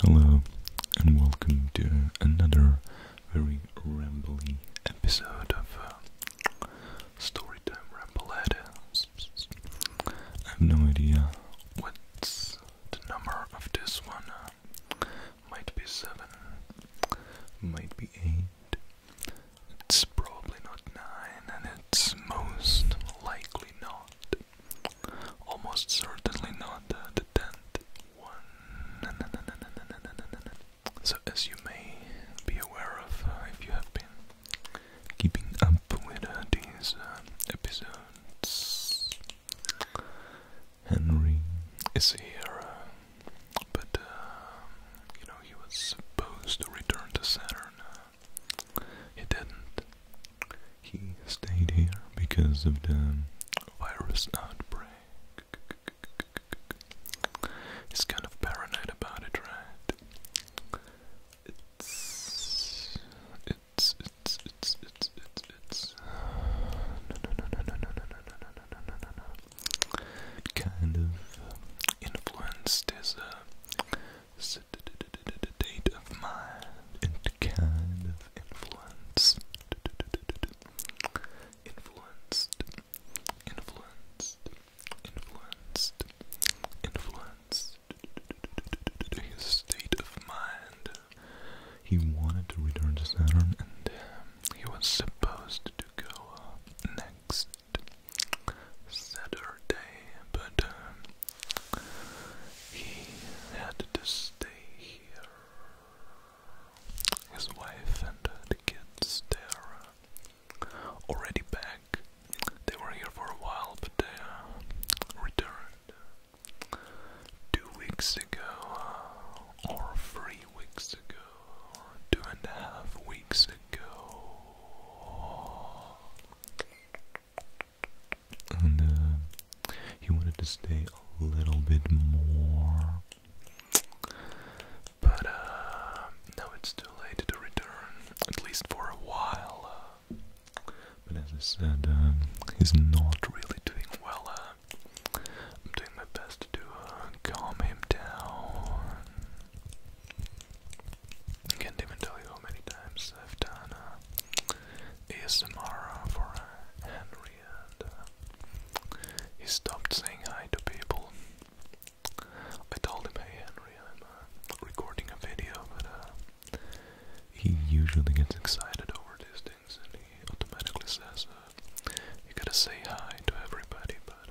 Hello and welcome to another very rambly episode of uh, Storytime Rambled. I have no idea what's the number of this one. Uh, might be 7, might be 8, it's probably not 9, and it's most likely not Almost certainly not the tenth one. So, as you may be aware of, uh, if you have been keeping up with uh, these uh, episodes, Henry is here, but you know he was supposed to return to Saturn he didn't. He stayed here because of the virus outbreak. He's kind of paranoid about it, right? It's it's it's it's it's it's it's no no no no no no no no no no no kind of influenced his uh, state of mind and kind of influence. Influenced, influenced, influenced, influenced his state of mind. He wanted to return to Saturn and he was supposed to go uh, next Saturday, but um, he had to stay here. His wife and the kids, they're uh, already back. They were here for a while, but they uh, returned uh, two weeks ago, or three weeks ago, two and a half weeks ago and uh, he wanted to stay a little bit more, but uh, now it's too late to return, at least for a while. Uh. but as I said, he's not really doing well. I'm doing my best to calm him down. I can't even tell you how many times I've done uh, ASMR uh, for uh, Henry, and he stopped saying hi to people. I told him, hey Henry, I'm recording a video, but he usually gets excited over these things and he automatically says, you gotta say hi to everybody, but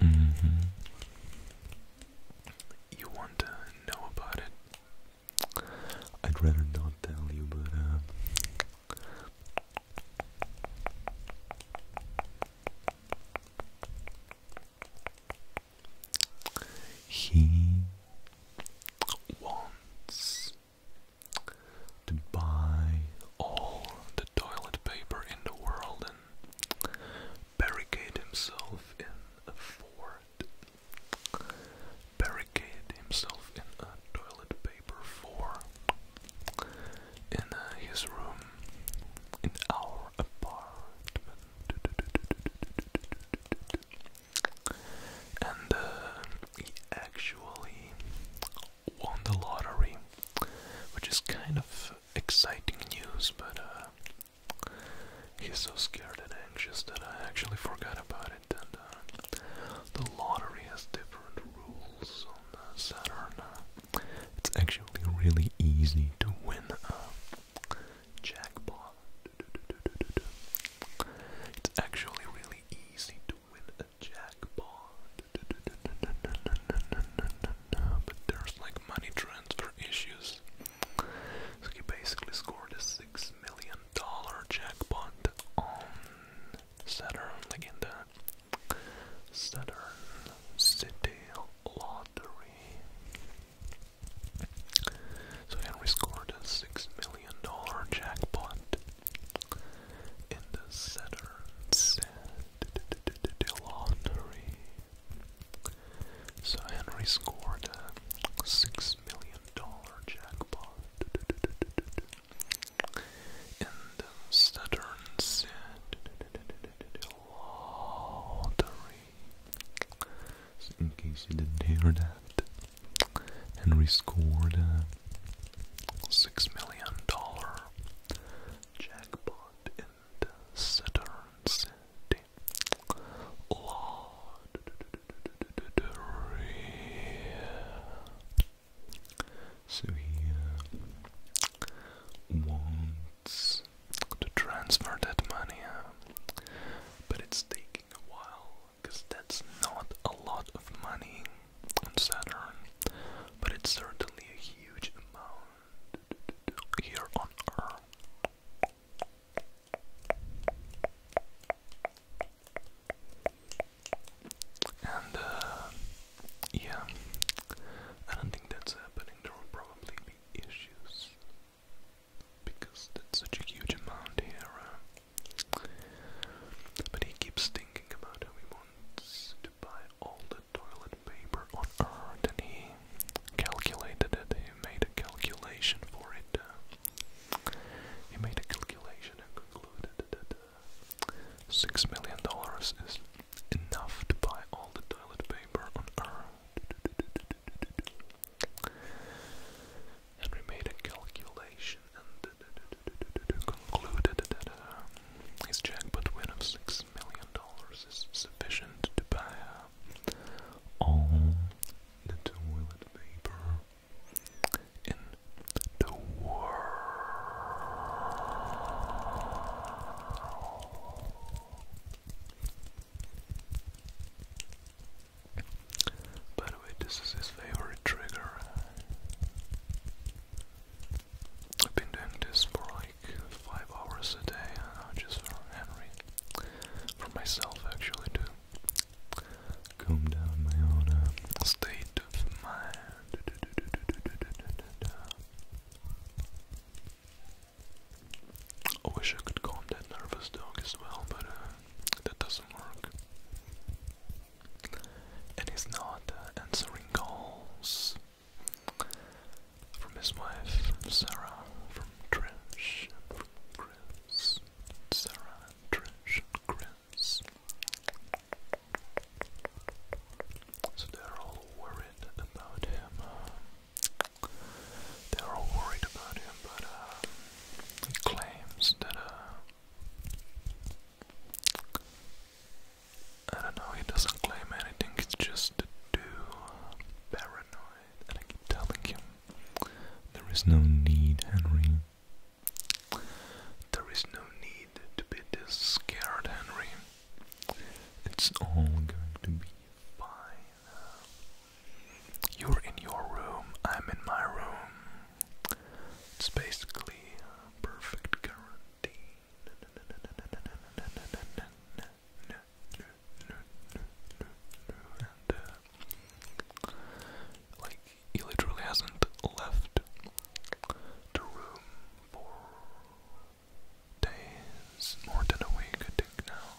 and mm -hmm. you want to know about it. I'd rather not tell you, but uh, he wants to buy all the toilet paper in the world and barricade himself in a fort. Barricade himself in a toilet paper fort. In uh, his room, in our apartment, and uh, he actually won the lottery, which is kind of exciting news, but uh, he's so scared and anxious that I actually forgot about it. And uh, the lottery has different rules on uh, Saturn. it's actually really easy to win a jackpot. It's actually really easy to win a jackpot. But there's like money transfer issues. So he basically scored a six million dollar jackpot on Saturn, like in the Saturn City Lottery. So Henry scored a six million dollar jackpot in the center laundry. So Henry scored a six million dollar jackpot in the Saturn said lottery. So in case you didn't hear that, Henry scored a uh, six million dollar jackpot in Saturn City. So he uh, wants to transfer that money, uh, but it's taking a while because that's not a lot of money on Saturn, but it's certainly a huge amount here on Earth. And uh, yeah, I don't think that's happening. There will probably be issues because that's such a huge amount here. Um, but he keeps thinking about how he wants to buy all the toilet paper on earth, and he calculated it. He made a calculation for it. Uh, he made a calculation and concluded that uh, six million dollars is enough to buy all the toilet paper on earth and we made a calculation and concluded that uh, his jackpot win of six million dollars is sufficient to buy uh, all the toilet paper in the world. By the way, this is his favorite trigger. I've been doing this for like 5 hours a day, uh, just for Henry. For myself, actually, to calm down my own uh, state of mind. I wish I could calm that nervous dog as well, but uh, that doesn't work. And he's not uh, answering calls from his wife, Sarah, from Trish, from Chris, Sarah, Trish, Chris. So they're all worried about him they're all worried about him, but um, he claims that uh, I don't know. He doesn't claim anything. It's just too paranoid, and I keep telling him there is no need, Henry. There is no need to be this scared, Henry. It's all going to be fine. You're in your room, I'm in my room. It's basically perfect guarantee. like, he literally hasn't left the room for days, more than a week, I think now.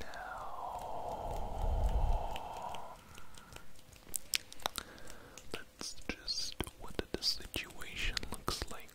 now. That's just what the situation looks like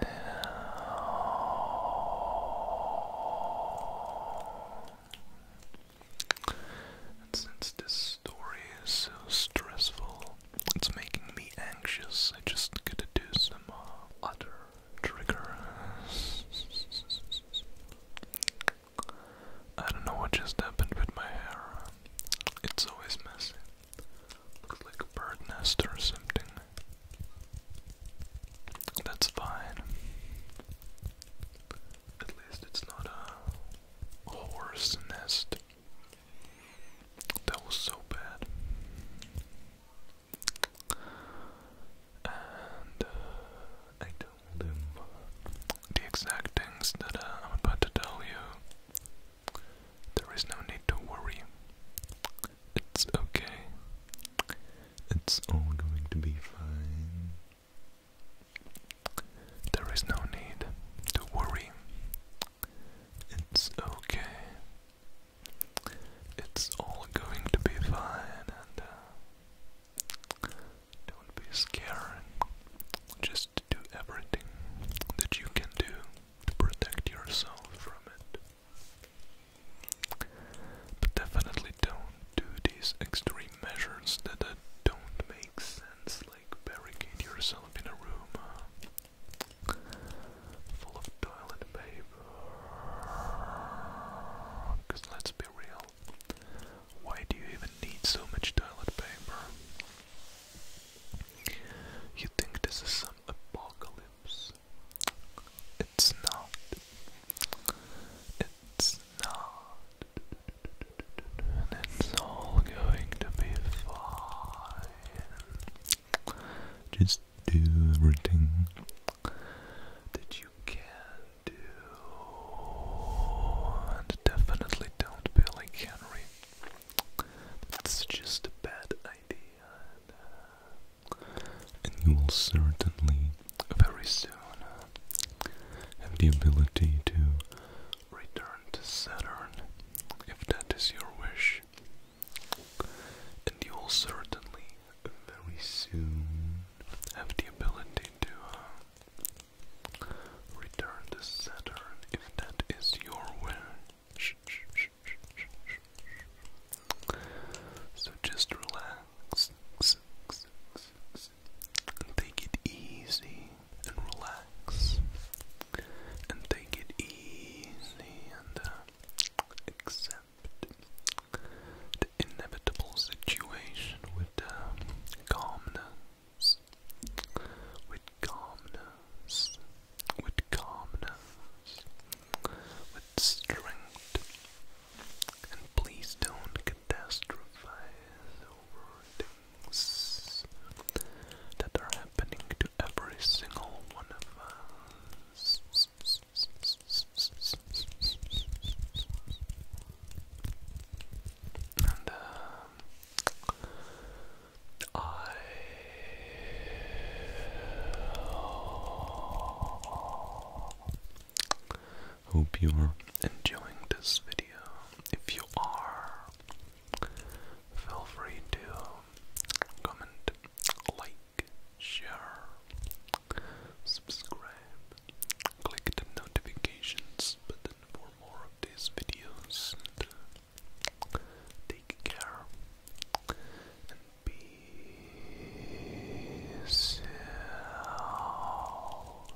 now. since this story is so stressful, it's making me anxious. I just gotta do some uh, utter trigger. I don't know what just happened with my hair. It's always messy. Looks like a bird nest or something. That's fine. At least it's not a horse nest. That was so bad and uh, I told him the exact things that uh, I'm about to tell you. There is no need to worry. It's okay. It's all going to be fine. There is no need to worry. It's okay. It's all going to be fine and uh, don't be scared. Just do everything that you can do to protect yourself from it. But definitely don't do these extreme measures that don't make sense, like barricade yourself in a room. Uh, full of toilet paper. Because let's be real, why do you even need so much toilet paper? You think this is some apocalypse? It's not. It's not. it's all going to be fine. Just do everything that you can do. And definitely don't be like Henry. That's just a bad idea. And, uh, you will certainly very soon have the ability to return to Saturn if that is your wish and you will certainly very soon have the ability to uh, return the Saturn if that is your wish. So just relax take it easy and relax and take it easy and uh, accept the inevitable situation with uh, calmness, with calmness, with calmness, with strength. And please don't catastrophize over things that are happening to every single one of us. And um, I hope you are enjoying this video. If you are, feel free to comment, like, share, subscribe, click the notifications button for more of these videos. Uh, take care and peace out.